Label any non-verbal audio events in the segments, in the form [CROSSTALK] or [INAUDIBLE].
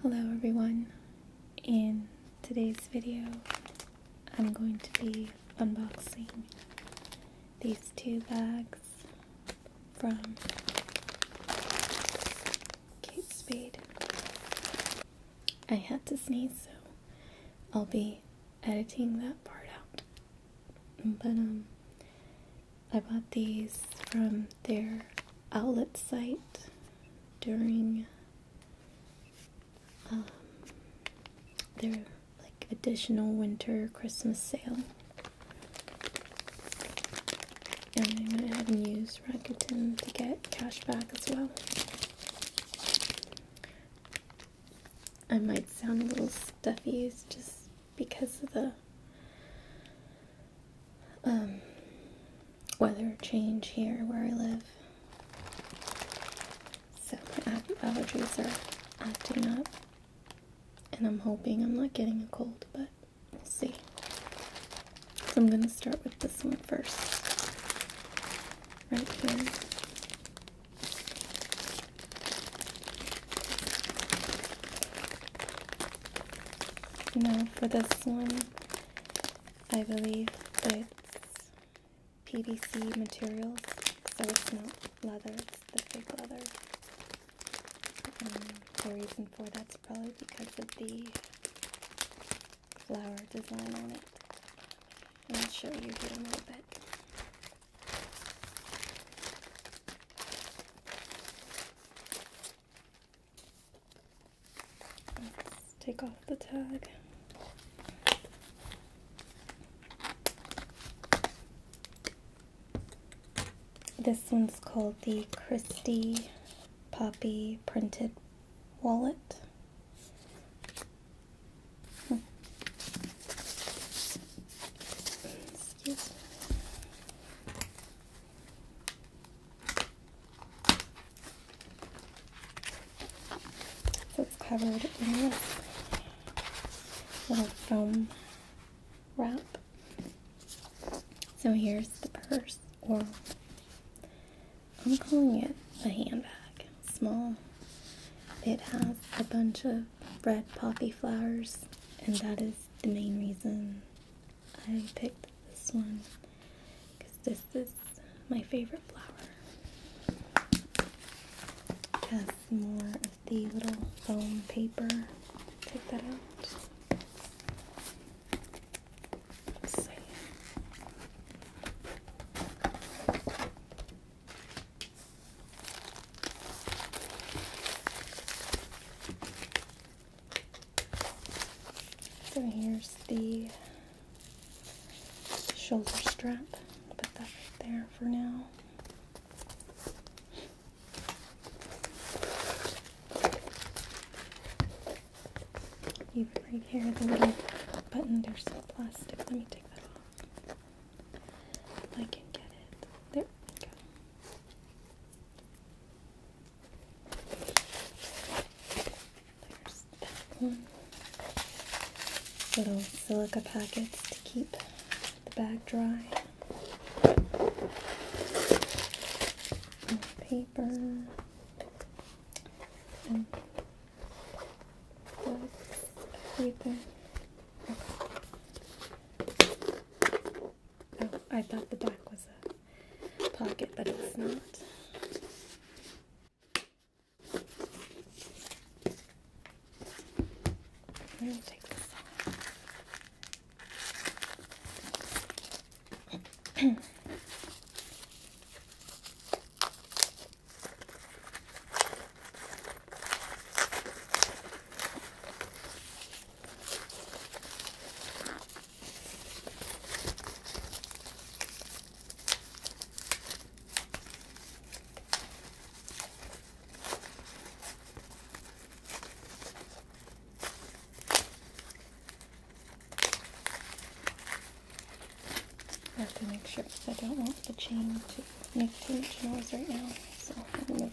Hello everyone. In today's video, I'm going to be unboxing these two bags from Kate Spade. I had to sneeze, so I'll be editing that part out. But um I bought these from their outlet site during um, their like additional winter Christmas sale. And I am gonna have and use Rakuten to get cash back as well. I might sound a little stuffy, it's just because of the um, weather change here where I live. So my allergies are acting up, and I'm hoping I'm not getting a cold, but we'll see. So I'm going to start with this one first, right here. Now for this one, I believe it's PVC material, so it's not leather, it's the fake leather. And um, the reason for that's probably because of the flower design on it. I'll show you here in a little bit take off the tag. This one's called the Christie Poppy Printed Wallet. Hmm. Excuse me. So it's covered in this little foam wrap. So here's the purse, or I'm calling it a handbag. Small. It has a bunch of red poppy flowers, and that is the main reason I picked this one because this is my favorite flower. has more of the little foam paper. Take that out. So here's the shoulder strap. I'll put that right there for now. Even right here, the little button, there's some plastic. Let me take that off. I can get it. There go. There's that one. Little silica packets to keep the bag dry. More paper. And that's Oh, I thought the back was a pocket, but it's not. I'm take this off. I have to make sure because I don't want the chain to make too much noise right now. So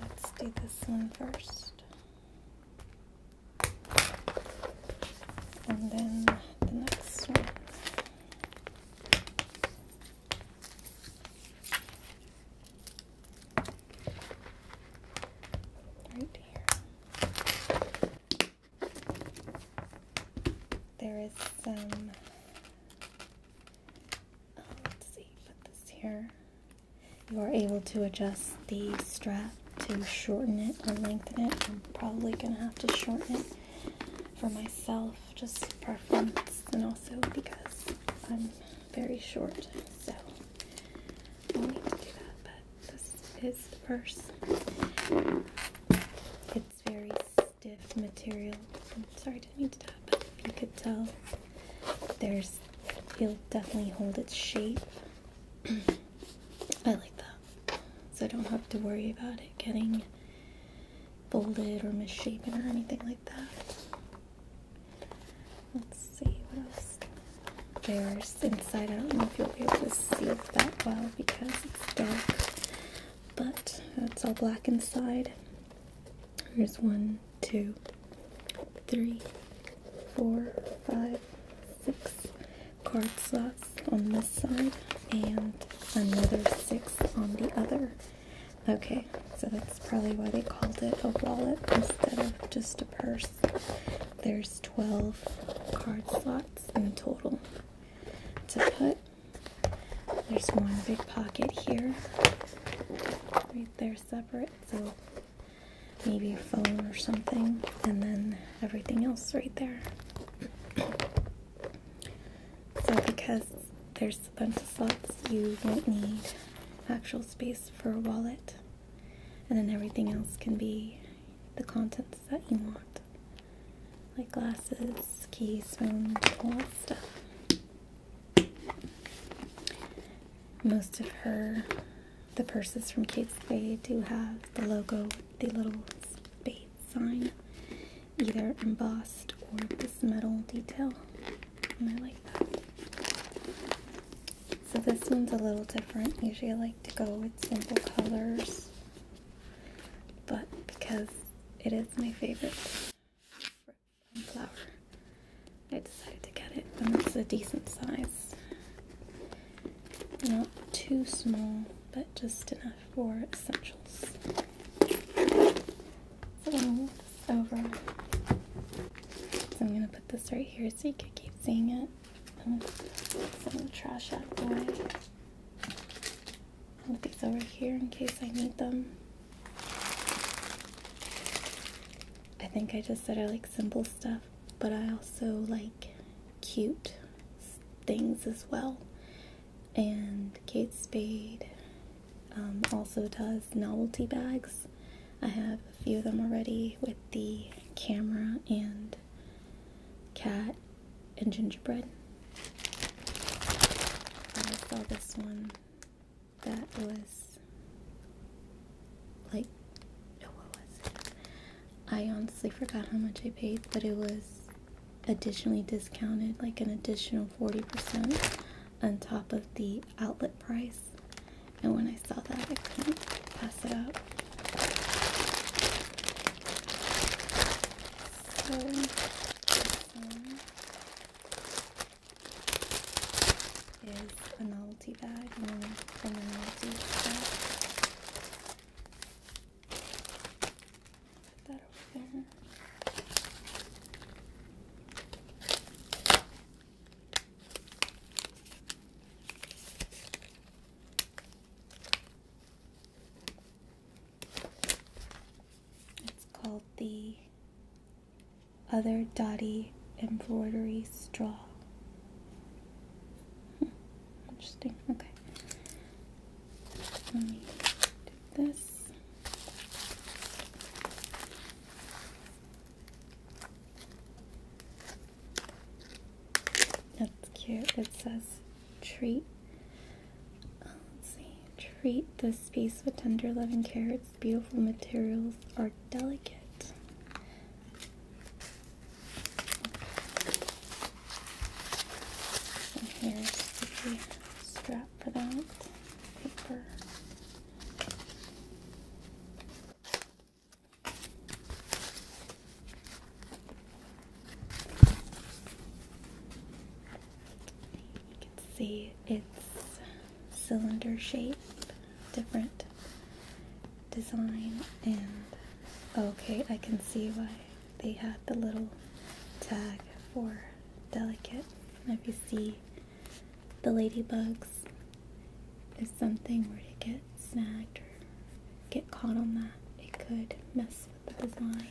let's do this one first. And then the next one. Right here. There is some let's see, put this here. You are able to adjust the strap to shorten it or lengthen it. I'm probably going to have to shorten it for myself, just preference, and also because I'm very short, so i need to do that. But this is the purse. It's very stiff material. i didn't mean to tap, but if you could tell, there's it'll definitely hold its shape. [CLEARS THROAT] I like that, so I don't have to worry about it getting folded or misshapen or anything like that. Let's see what else. There's inside. I don't know if you'll be able to see it that well because it's dark, but it's all black inside. Here's one, two, three, four, five, six card slots on this side, and another six on the other. Okay, so that's probably why they called it a wallet instead of just a purse. There's 12 card slots in total to put there's one big pocket here. Right there separate, so maybe a phone or something, and then everything else right there. so because there's a bunch of slots, you won't need actual space for a wallet. And then everything else can be the contents that you want like glasses, keys, spoons, all that stuff. Most of her, the purses from Kate Spade do have the logo the little spade sign, either embossed or this metal detail, I like that. So this one's a little different. Usually I like to go with simple colors, but because it is my favorite flower. I decided to get it, and it's a decent size. Not too small, but just enough for essentials. So I'm going over. So I'm gonna put this right here so you can keep seeing it. I'm um, gonna trash out of Put these over here in case I need them. I think I just said I like simple stuff, but I also like cute things as well. And Kate Spade um, also does novelty bags. I have a few of them already with the camera and cat and gingerbread. I saw this one that was like, no, what was it? I honestly forgot how much I paid, but it was additionally discounted, like an additional 40% on top of the outlet price. And when I saw that, I couldn't pass it up this one is a novelty bag you know, from a novelty bag. Put that over there. It's called the Other Dotty Embroidery Straw. Hmm, interesting. Okay. Let me do this. That's cute. It says treat uh, let's see treat the space with tender love and care its beautiful materials are delicate and strap for that paper you can see its cylinder shape, different design, and okay, I can see why they had the little tag for delicate. And if you see the ladybugs, if something where to get snagged or get caught on that, it could mess the design.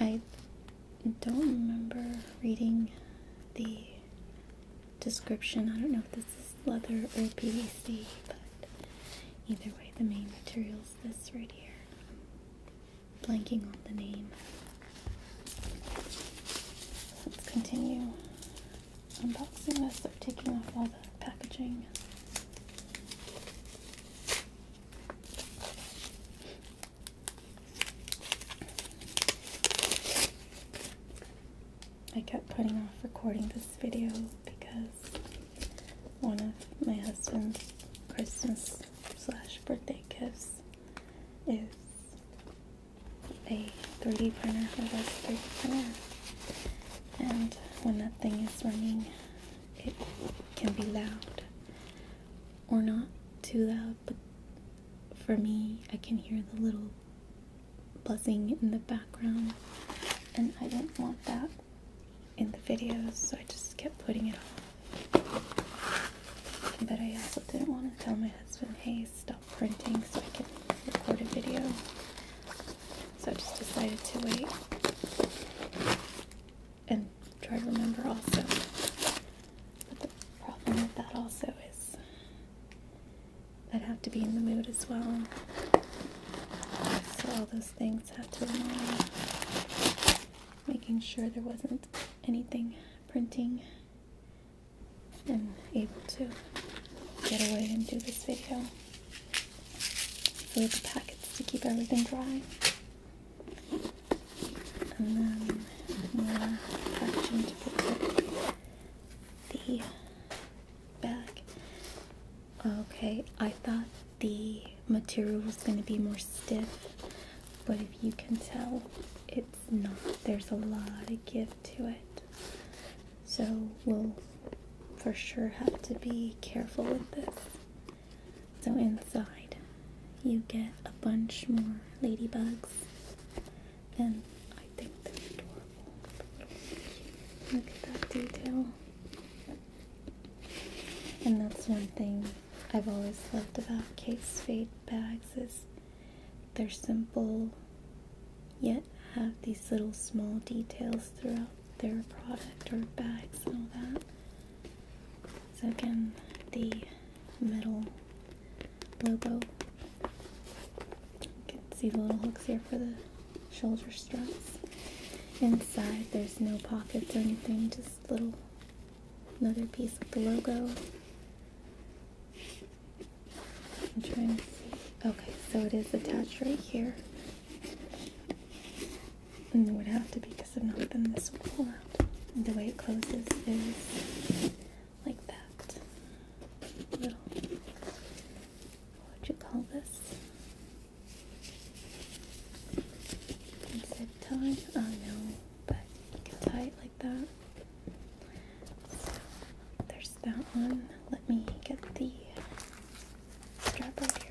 I don't remember reading the description. I don't know if this is leather or PVC, but either way, the main material is this right here. blanking on the name. Let's continue unboxing list of taking off all the packaging. I kept putting off recording this video because one of my husband's Christmas slash birthday gifts is a 3D printer, a 3D printer and when that thing is running, it can be loud or not too loud, but for me, I can hear the little buzzing in the background, and I didn't want that in the videos, so I just kept putting it off. But I also didn't want to tell my husband, hey, stop printing so I can record a video. So I just decided to wait and try to remember also. But the problem with that also is I'd have to be in the mood as well. So all those things have to align. Making sure there wasn't anything printing and able to get away and do this video. So the packets to keep everything dry. And then more action to protect the bag. Okay, I thought the material was going to be more stiff, but if you can tell, it's not. There's a lot of give to it. So we'll for sure have to be careful with this. So inside you get a bunch more ladybugs and I think they're adorable. Look at that detail. And that's one thing I've always loved about case fade bags is they're simple, yet have these little small details throughout their product or bags and all that. So again, the metal logo. You can see the little hooks here for the shoulder straps. Inside, there's no pockets or anything, just little another piece of the logo. I'm trying to see. Okay, so it is attached right here. And it would have to be because i if not, then this would pull out. the way it closes is like that. Little, what would you call this? Zip tie? Oh no, but you can tie it like that there's that one. Let me get the strap right here.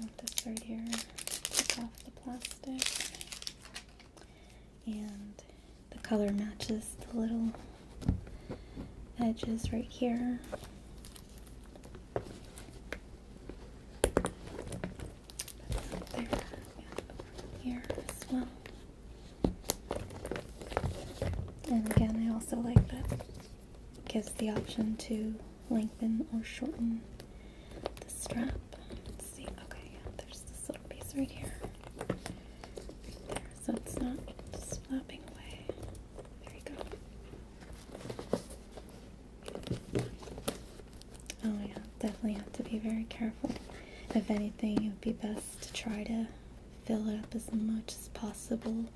Let this right here take off the plastic and the color matches the little edges right here. and here as well. And again, I also like that it gives the option to lengthen or shorten the strap. see, okay, yeah, there's this little piece right here. Right there so it's not just flapping away. There you go. Oh yeah, definitely have to be very careful. If anything, it would be best to try to fill it up as much as possible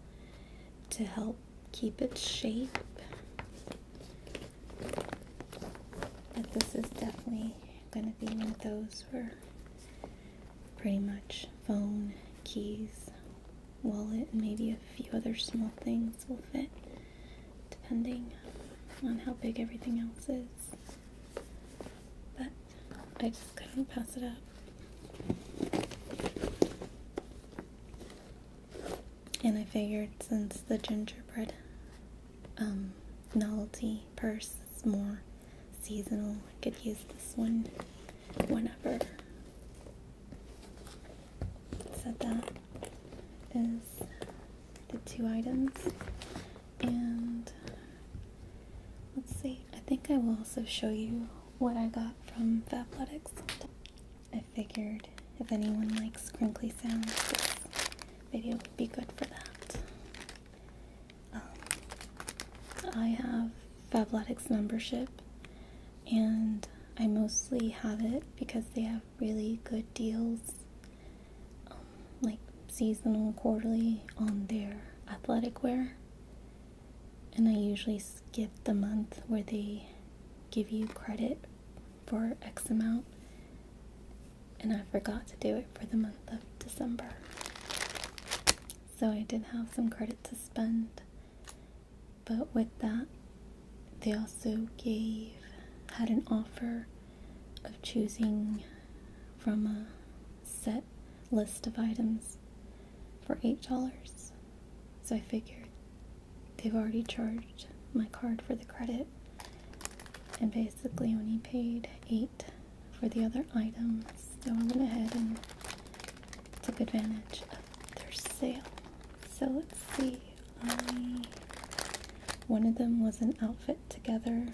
to help keep its shape. But this is definitely going to be one of those where pretty much phone, keys, wallet, and maybe a few other small things will fit, depending on how big everything else is. But I just couldn't pass it up. And I figured since the gingerbread um, novelty purse is more seasonal. I could use this one whenever. So that is the two items. And let's see, I think I will also show you what I got from Fabletics. I figured if anyone likes crinkly sounds, this video would be good for that. Um, I have Fabletics membership, and I mostly have it because they have really good deals, um, like seasonal, quarterly, on their athletic wear. And I usually skip the month where they give you credit for X amount and I forgot to do it for the month of December. So I did have some credit to spend, but with that, they also gave, had an offer of choosing from a set list of items for $8. So I figured they've already charged my card for the credit, and basically only paid 8 for the other items. So I went ahead and took advantage of their sale. So let's see. I, one of them was an outfit together.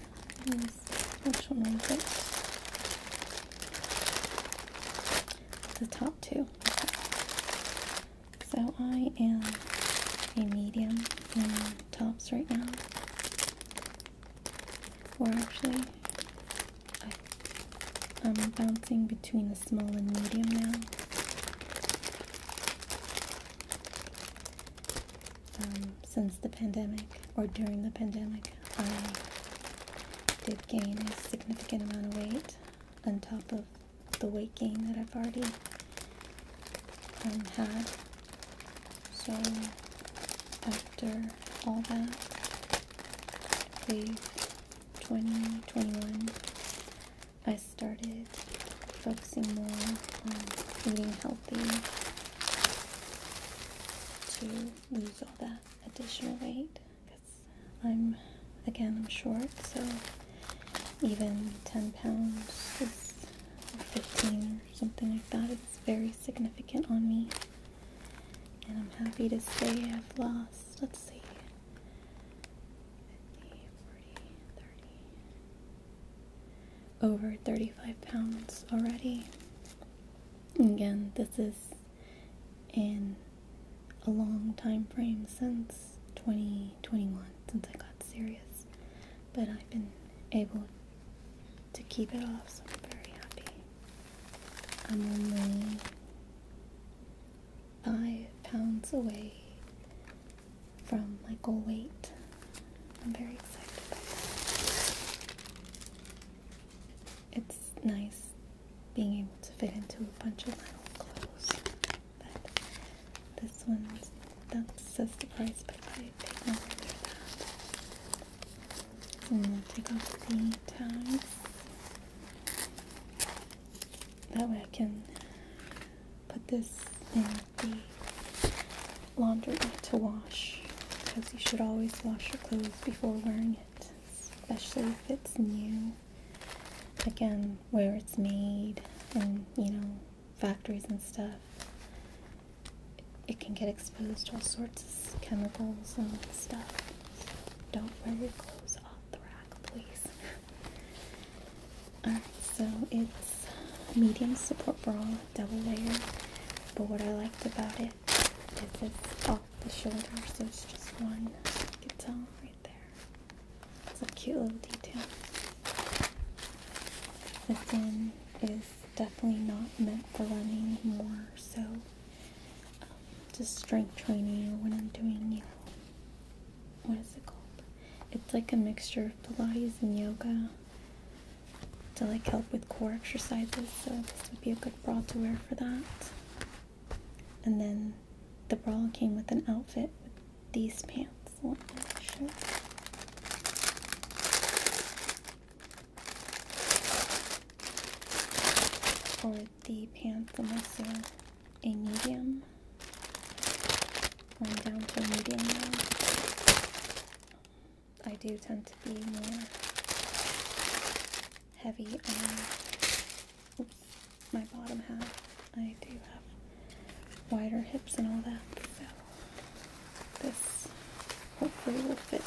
which one was it? The top two. So I am a medium in tops right now. We're actually, I, am bouncing between the small and medium now. Um, since the pandemic, or during the pandemic, I did gain a significant amount of weight on top of the weight gain that I've already and had. So after all that, wave 2021, I started focusing more on eating healthy to lose all that additional weight because I'm, again, I'm short, so even 10 pounds is 15 something like that. It's very significant on me. And I'm happy to say I've lost, let's see, over 35 pounds already. again, this is in a long time frame since 2021, since I got serious but I've been able to keep it off, so I'm very happy. I'm only five pounds away from my goal weight. I'm very excited about that. It's nice being able to fit into a bunch of my old clothes. But this one's that's the price. but I take off the tie. That way I can put this in the laundromat to wash because you should always wash your clothes before wearing it, especially if it's new. Again, where it's made and you know factories and stuff, it can get exposed to all sorts of chemicals and stuff. So don't wear your clothes off the rack, please. Alright, so it's medium support bra, double layer. But what I liked about it is it's off the shoulder, so it's just one. You can tell right there. It's a cute little detail. This one is definitely not meant for running, more so um, just strength training or when I'm doing, you what is it called? It's like a mixture of Pilates and yoga to like help with core exercises. So this would be a good bra to wear for that. And then the bra came with an outfit these pants. Let Or the pants, unless they're a medium. Going down to medium now. I do tend to be more heavy on my bottom half. I do have wider hips and all that, so this hopefully will fit.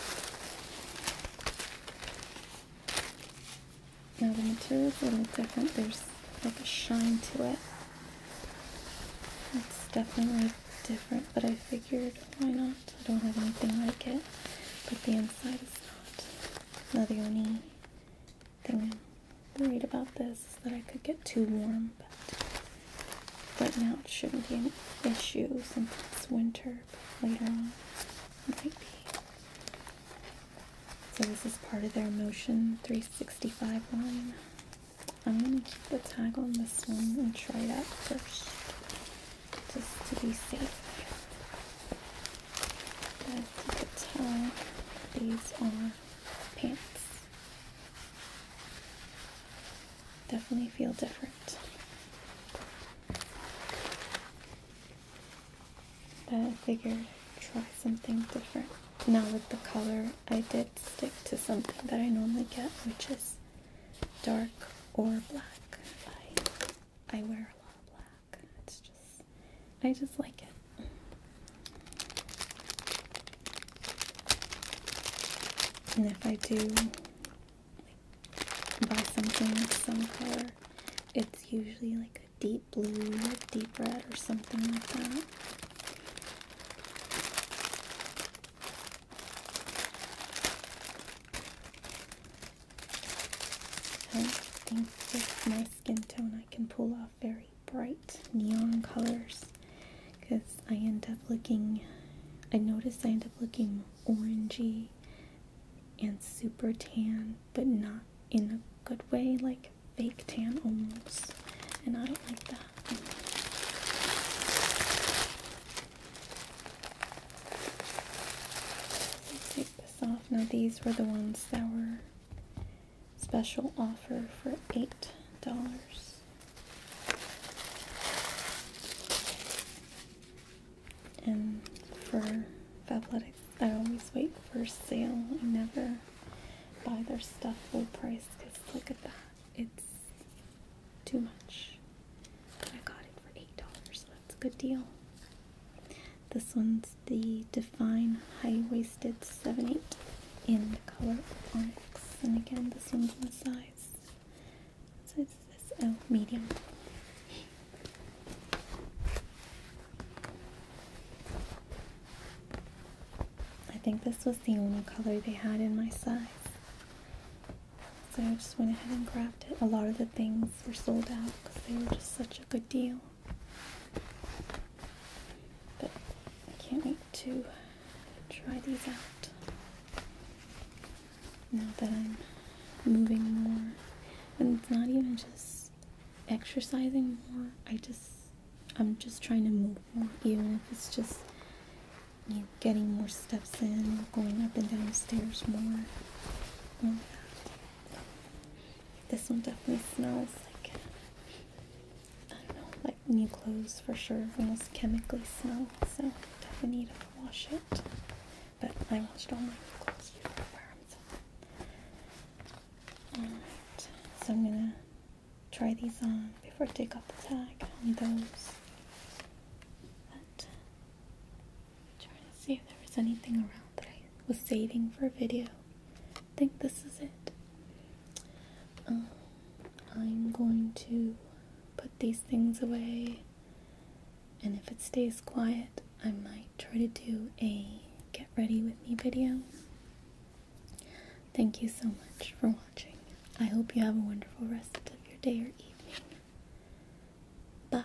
Now the material is a little different. There's like a shine to it. It's definitely different, but I figured why not? I don't have anything like it, but the inside is not. Now the only I'm worried about this is that I could get too warm, but right now it shouldn't be an issue since it's winter, but later on might be. So this is part of their Motion 365 line. I'm going to keep the tag on this one and try it out first, just to be safe. As you could tell, these are pants. Definitely feel different. But I figured I'd try something different. Now with the color, I did stick to something that I normally get, which is dark or black. I I wear a lot of black. It's just I just like it. And if I do buy something with some color, it's usually like a deep blue or deep red or something like that. I think with my skin tone I can pull off very bright neon colors because I end up looking, I notice I end up looking orangey and super tan, but not in a good way, like fake tan almost, and I don't like that. take this off. Now these were the ones that were Special offer for eight dollars. And for Fabletics, I always wait for sale. I never buy their stuff full price because look at that. It's too much. I got it for $8. So that's a good deal. This one's the Define High Waisted 7-8 in the color Onyx. And again, this one's in size. Size is L, medium. I think this was the only color they had in my size. So I just went ahead and grabbed it. A lot of the things were sold out because they were just such a good deal. But I can't wait to try these out now that I'm moving more. And it's not even just exercising more, I just, I'm just trying to move more, even if it's just you know, getting more steps in, going up and down the stairs more. This one definitely smells like I don't know, like new clothes for sure. Almost chemically smell, so definitely need to wash it. But I washed all my clothes before So. Alright, so I'm gonna try these on before I take off the tag on those. But I'm trying to see if there was anything around that I was saving for a video. I think this is it. Um, I'm going to put these things away, and if it stays quiet, I might try to do a get ready with me video. Thank you so much for watching. I hope you have a wonderful rest of your day or evening. Bye.